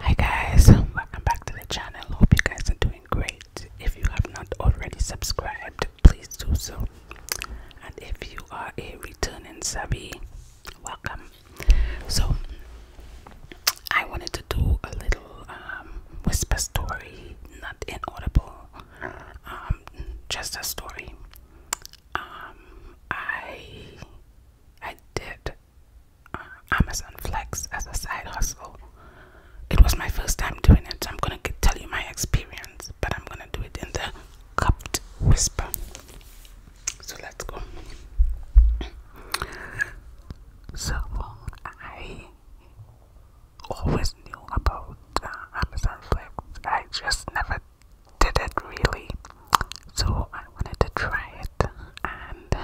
Hi guys, welcome back to the channel. Hope you guys are doing great. If you have not already subscribed, please do so. And if you are a returning subby, welcome. So, I wanted to do a little um, whisper story, not inaudible, um, just a story. Um, I I did uh, Amazon Flex as a side hustle. It was my first time doing it, so I'm gonna tell you my experience, but I'm gonna do it in the cupped whisper. So let's go. So I always knew about uh, Amazon Flex. I just never did it really. So I wanted to try it, and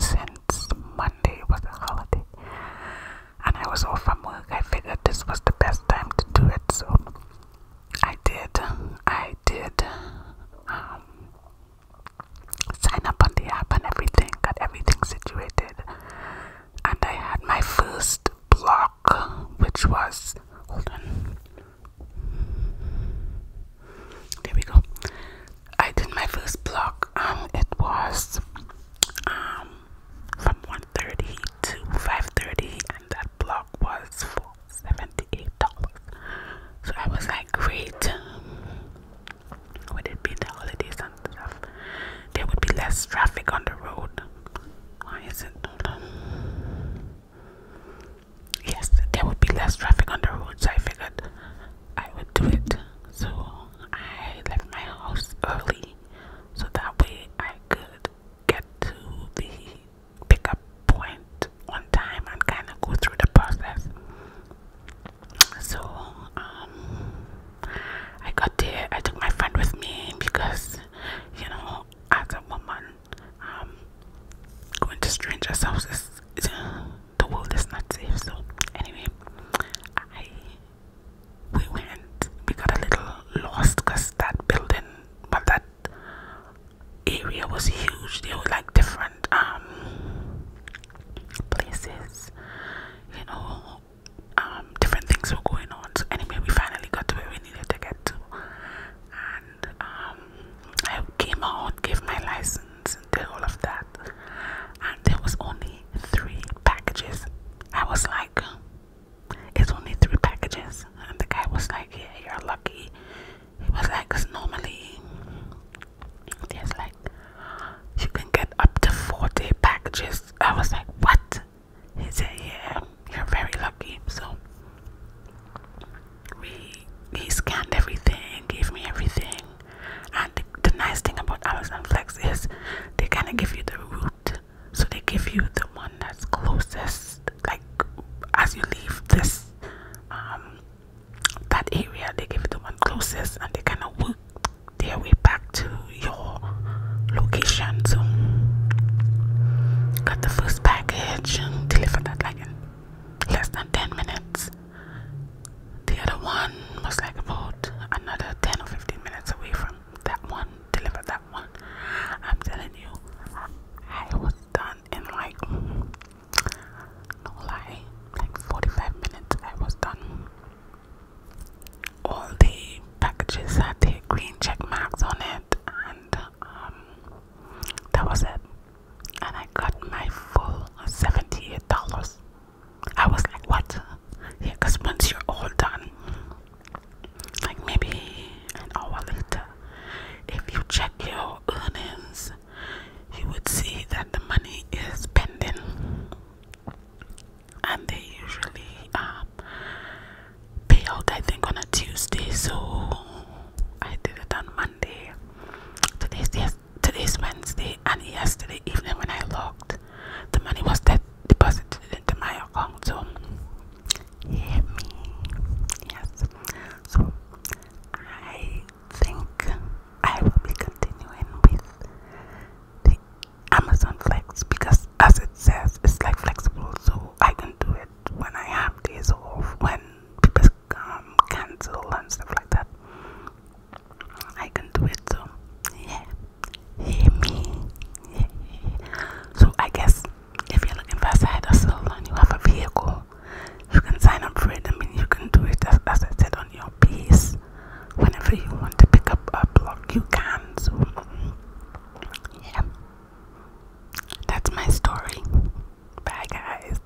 since Monday was a holiday and I was off from work, I figured this was the best time to do it. So I did. I did. Um, sign up on the app and everything, got everything situated, and I had my first blog which was hold on. There we go. I did my first block. Um, it was um from 1:30 to 5:30, and that block was for 78 dollars. So I was like, great. Would it be the holidays? there would be less traffic on the road. Why is it? Yes, there would be less traffic on the road, so I figured I would do it. So I left my house early so that way I could get to the pickup point on time and kind of go through the process so, um, I got there. I took my friend with me because, you know, as a woman, um, going to strangers' houses, uh, the world is not safe. So, anyway, I we went. We got a little lost because that building, but that area was huge. They were like different um places, you know, um different things were going on. So anyway we finally got to where we needed to get to and um I came out, gave my license and did all of that and there was only three packages. I was like it's only three packages and the guy was like yeah you're lucky. It was like cause normally there's like you can get up to four packages. I was like, what? He said, yeah, you're very lucky. So we he scanned everything, gave me everything, and the, the nice thing about Amazon Flex is they kind of give you the route, so they give you the one that's closest. Like as you leave this um, that area, they give you the one closest and they kind of work their way back to your location. So, got the first package and delivered that like in less than 10 minutes. The other one was like about another 10 or 15 minutes away from that one, delivered that one. I'm telling you, I was done in like no lie, like 45 minutes I was done. All the packages had the green check marks on it and um, that was it. And I got my full $78. I was like, what? Yeah, because once you're all done, like maybe an hour later, if you check your earnings, you would see that the money is pending, and they usually um, pay out, I think, on a Tuesday. So I did it on Monday. Today's, today's Wednesday, and yesterday evening when I logged, the money was that deposited into my account. So hear me. Yes. So I think I will be continuing with the Amazon Flex because as it says it's like flexible so I can do it when I have days off when people um, cancel and stuff like that I can do it so yeah hear me so I guess if you're looking for a side hustle and you have a vehicle you can sign up for it I mean you can do it as, as I said on your piece whenever you want to pick up a block you can so yeah that's my story bye guys